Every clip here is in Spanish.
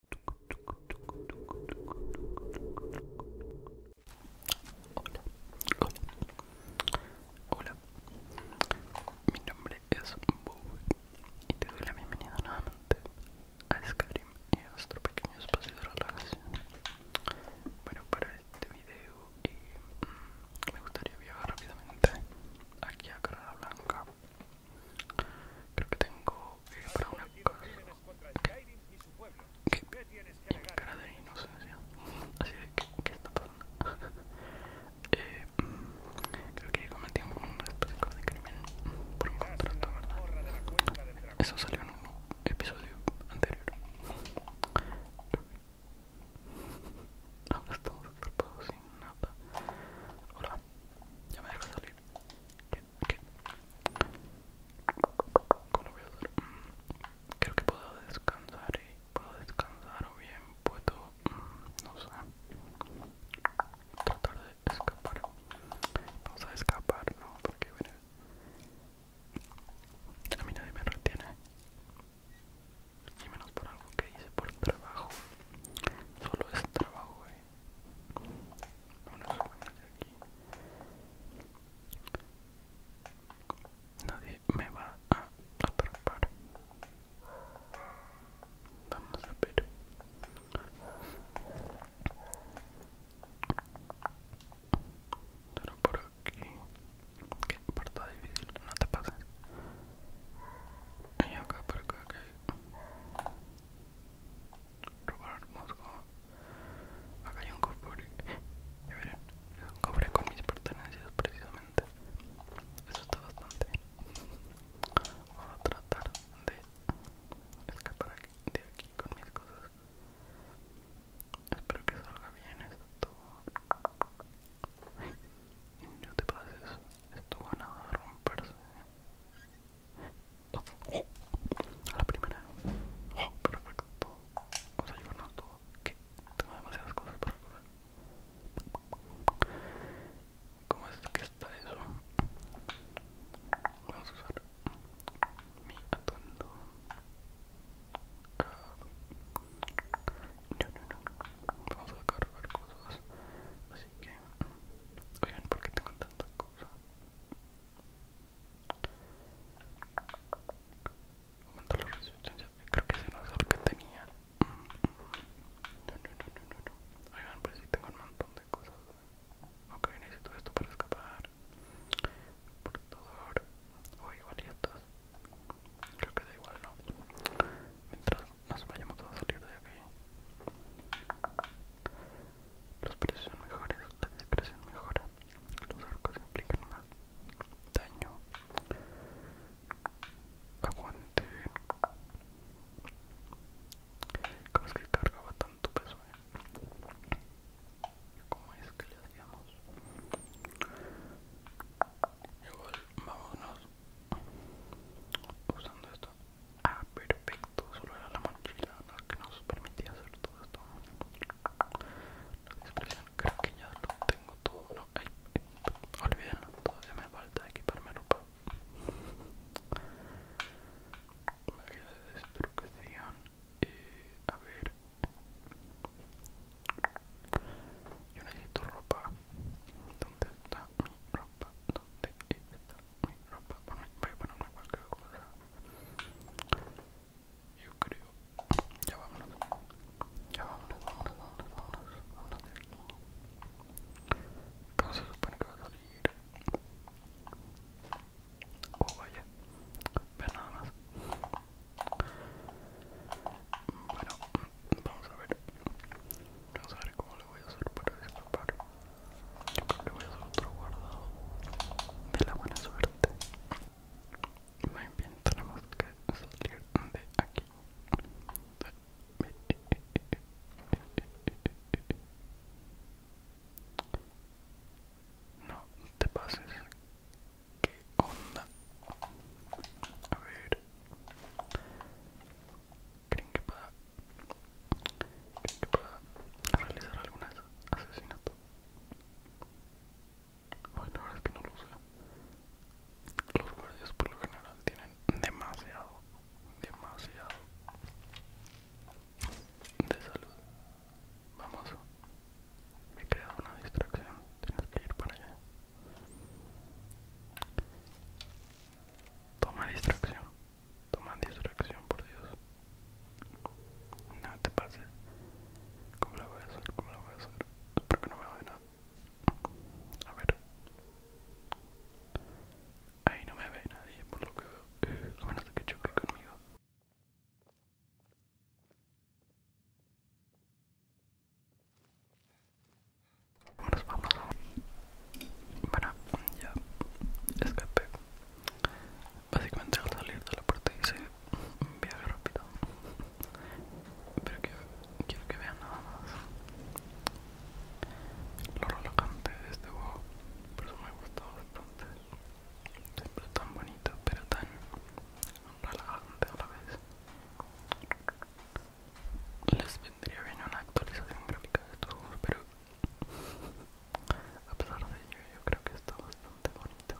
Hola, hola, hola. Mi nombre es Bowie y te doy la bienvenida nuevamente a Skyrim y a nuestro pequeño espacio de relajación. Bueno, para este video eh, mm, me gustaría viajar rápidamente aquí a Carrera Blanca Creo que tengo que para una cosa. cara de inocencia. Así de que, ¿qué está pasando? Eh, mm, creo que cometí un crimen Eso salió en un episodio anterior. Ahora estamos atrapados sin nada. Hola, ya me dejo salir. ¿Qué? ¿Cómo voy a hacer? Mm, creo que puedo descansar ¿eh? puedo descansar o bien puedo, mm, no sé, tratar de escapar. Vamos a escapar, ¿no? Porque a mí nadie me retiene. Y menos por algo que hice por el trabajo. Solo es trabajo, eh aquí. Nadie me va a atrapar. Vamos a ver. Pero por aquí. Que por todo difícil, no te pases. Y acá por acá Robar Moscó. Acá hay un cofre. Ya verán, cofre con mis pertenencias precisamente. Eso está bastante bien. a tratar de escapar de aquí con mis cosas. Espero que salga bien esto. No te pases. Esto va a romperse. a la primera. Oh, perfecto. Vamos a llevarnos todo. Que tengo demasiadas cosas para probar. ¿Cómo es que está eso? Vamos a usar mi atuendo no, no, no. Vamos a cargar cosas. Así que, oigan, ¿por qué tengo tantas cosas? Aumenta los resistencia. Creo que se no es el que tenía. No, Oigan, pues sí tengo un montón de cosas. Ok, necesito esto para escapar. Portador. O igualito. Creo que da igual, ¿no? Mientras nos vayamos a salir de aquí. Los precios son mejores, la discreción mejora. Los arcos implican más daño. Aguante. ¿Cómo es que cargaba tanto peso? Eh? ¿Cómo es que le hacíamos? Igual, vámonos usando esto ah perfecto solo era la mochila la que nos permitía hacer todo esto la expresión creo que ya lo tengo todo no ay, eh, todavía me falta equiparme ropa eh, a ver Yo necesito ropa. ¿Dónde está mi ropa? ¿Dónde está mi ropa? Bueno, voy a ponerme cualquier cosa. Yo creo. Ya vámonos. Ya vámonos, vámonos, vámonos, vámonos. vámonos de aquí. ¿Cómo se supone que va a salir? Oh, vaya. Ve nada más. Bueno, vamos a ver. Vamos a ver cómo le voy a hacer para disfrapar Yo creo que voy a hacer otro guardado de la buena suerte. Muy bien, tenemos que salir de aquí. No te pases, onda a ver creen que pueda creen realizar algún asesinato bueno la verdad es que no lo sé los guardias por lo general tienen demasiado demasiado de salud vamos me queda una distracción, tienes que ir para allá. Toma distracción, toma distracción, por Dios. No te pase. ¿Cómo la voy a hacer? ¿Cómo la voy a hacer? Espero que no me vea nada. A ver. Ahí no me ve nadie, por lo que veo. A menos de que choque conmigo vamos. Bueno, ya escapé. Básicamente al salir de la puerta hice un viaje rápido. Pero quiero que vean nada más. Lo relocante de este juego. Por eso me gustado bastante. Siempre tan bonito, pero tan relajante a la vez. Les vendría bien una actualización gráfica de estos pero a pesar de ello, yo creo que está bastante bonito.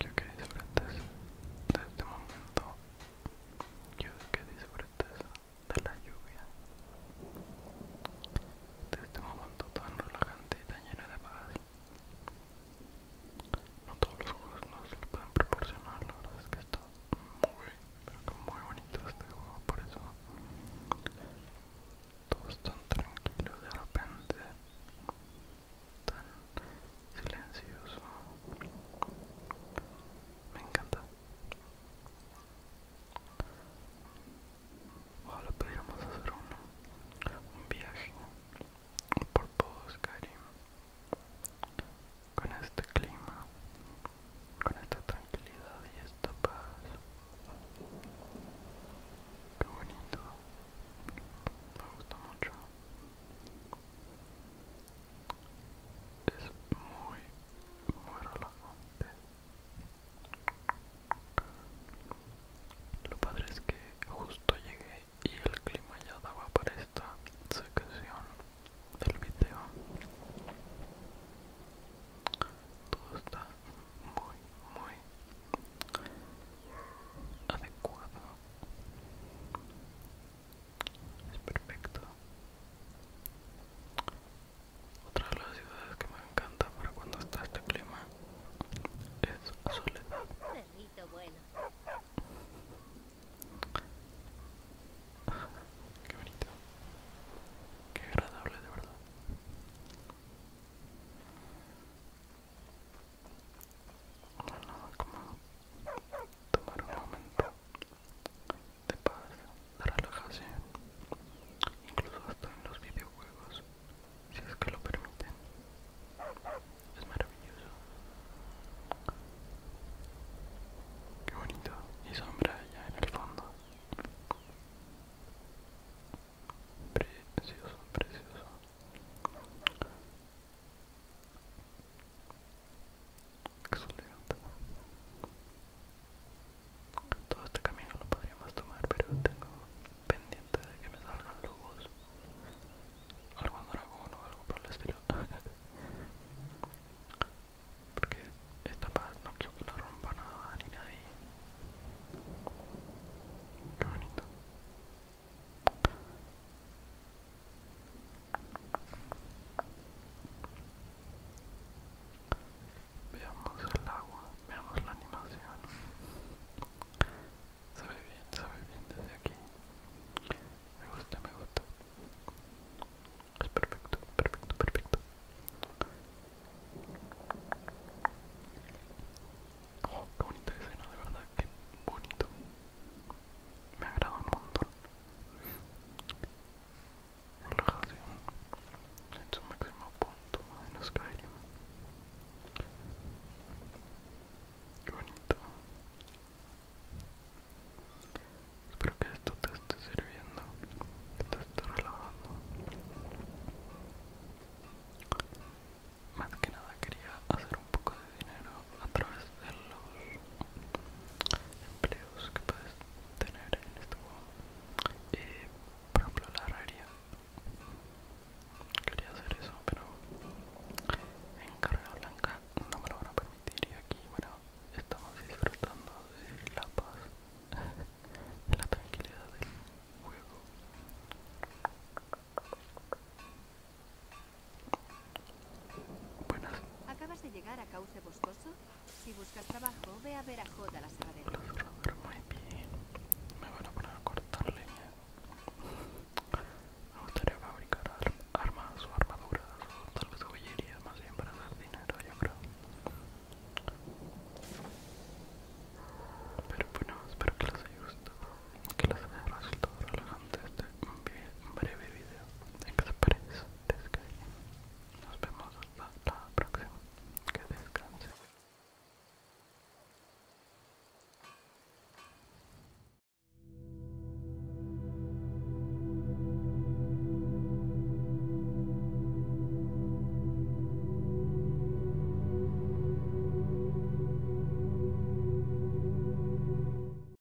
Yo que disfrutes de este momento. yo que disfrutes de la lluvia de este momento tan relajante y tan lleno de paz. No todos los juegos nos pueden proporcionar, la es que está muy, muy bonito este juego, por eso todos es tan tranquilo de repente, tan silencioso. Me encanta. Ojalá pudiéramos hacer un viaje por todos, Karim, con este clima, con esta tranquilidad y esta paz. Qué bonito, me gusta mucho. Es muy, muy relajante. Lo padre es que justo llegué y el clima ya daba para esta sección del video. Todo está muy, muy adecuado. Es perfecto. Otra de las ciudades que me encanta para cuando está este clima es Soledad. Qué bonito. Qué agradable de verdad. Bueno, a tomar un momento de paz, de relajación, incluso hasta en los videojuegos, si es que lo permiten. Es maravilloso. Qué bonito. Y sombra allá en el fondo. Precioso, precioso. Excelente todo este camino lo podríamos tomar pero tengo pendiente de que me salgan lobos algún dragón o algo por el estilo porque esta paz no quiero que no rompa nada ni nadie qué bonito Veamos el agua, veamos la animación. sabe bien, sabe bien desde aquí. Me gusta, me gusta. Es perfecto, perfecto, perfecto. Oh, qué bonita escena, de verdad, qué bonito. Me agrada un montón relajación en su máximo punto en Skyrim. Qué bonito. Espero que esto te esté sirviendo, que te esté relajando. Más que nada quería hacer un poco de dinero a través de los empleos que puedes tener en estuvo eh, por ejemplo la herrería quería hacer eso pero en carrera blanca no me lo van a permitir y aquí bueno estamos disfrutando de la paz de la tranquilidad del juego Buenas. ¿Acabas de llegar a Cauce Boscoso? Si buscas trabajo, ve a ver a Jota la cerradera. Muy bien. Me van a poner a cortar leña. Me gustaría fabricar armas o armaduras o tal vez joyería, más bien para dar dinero, yo creo. Pero bueno, espero que les haya gustado, que les haya resultado relevante este breve video. ¿En qué te parece? antes nos vemos hasta la próxima. Que descanse.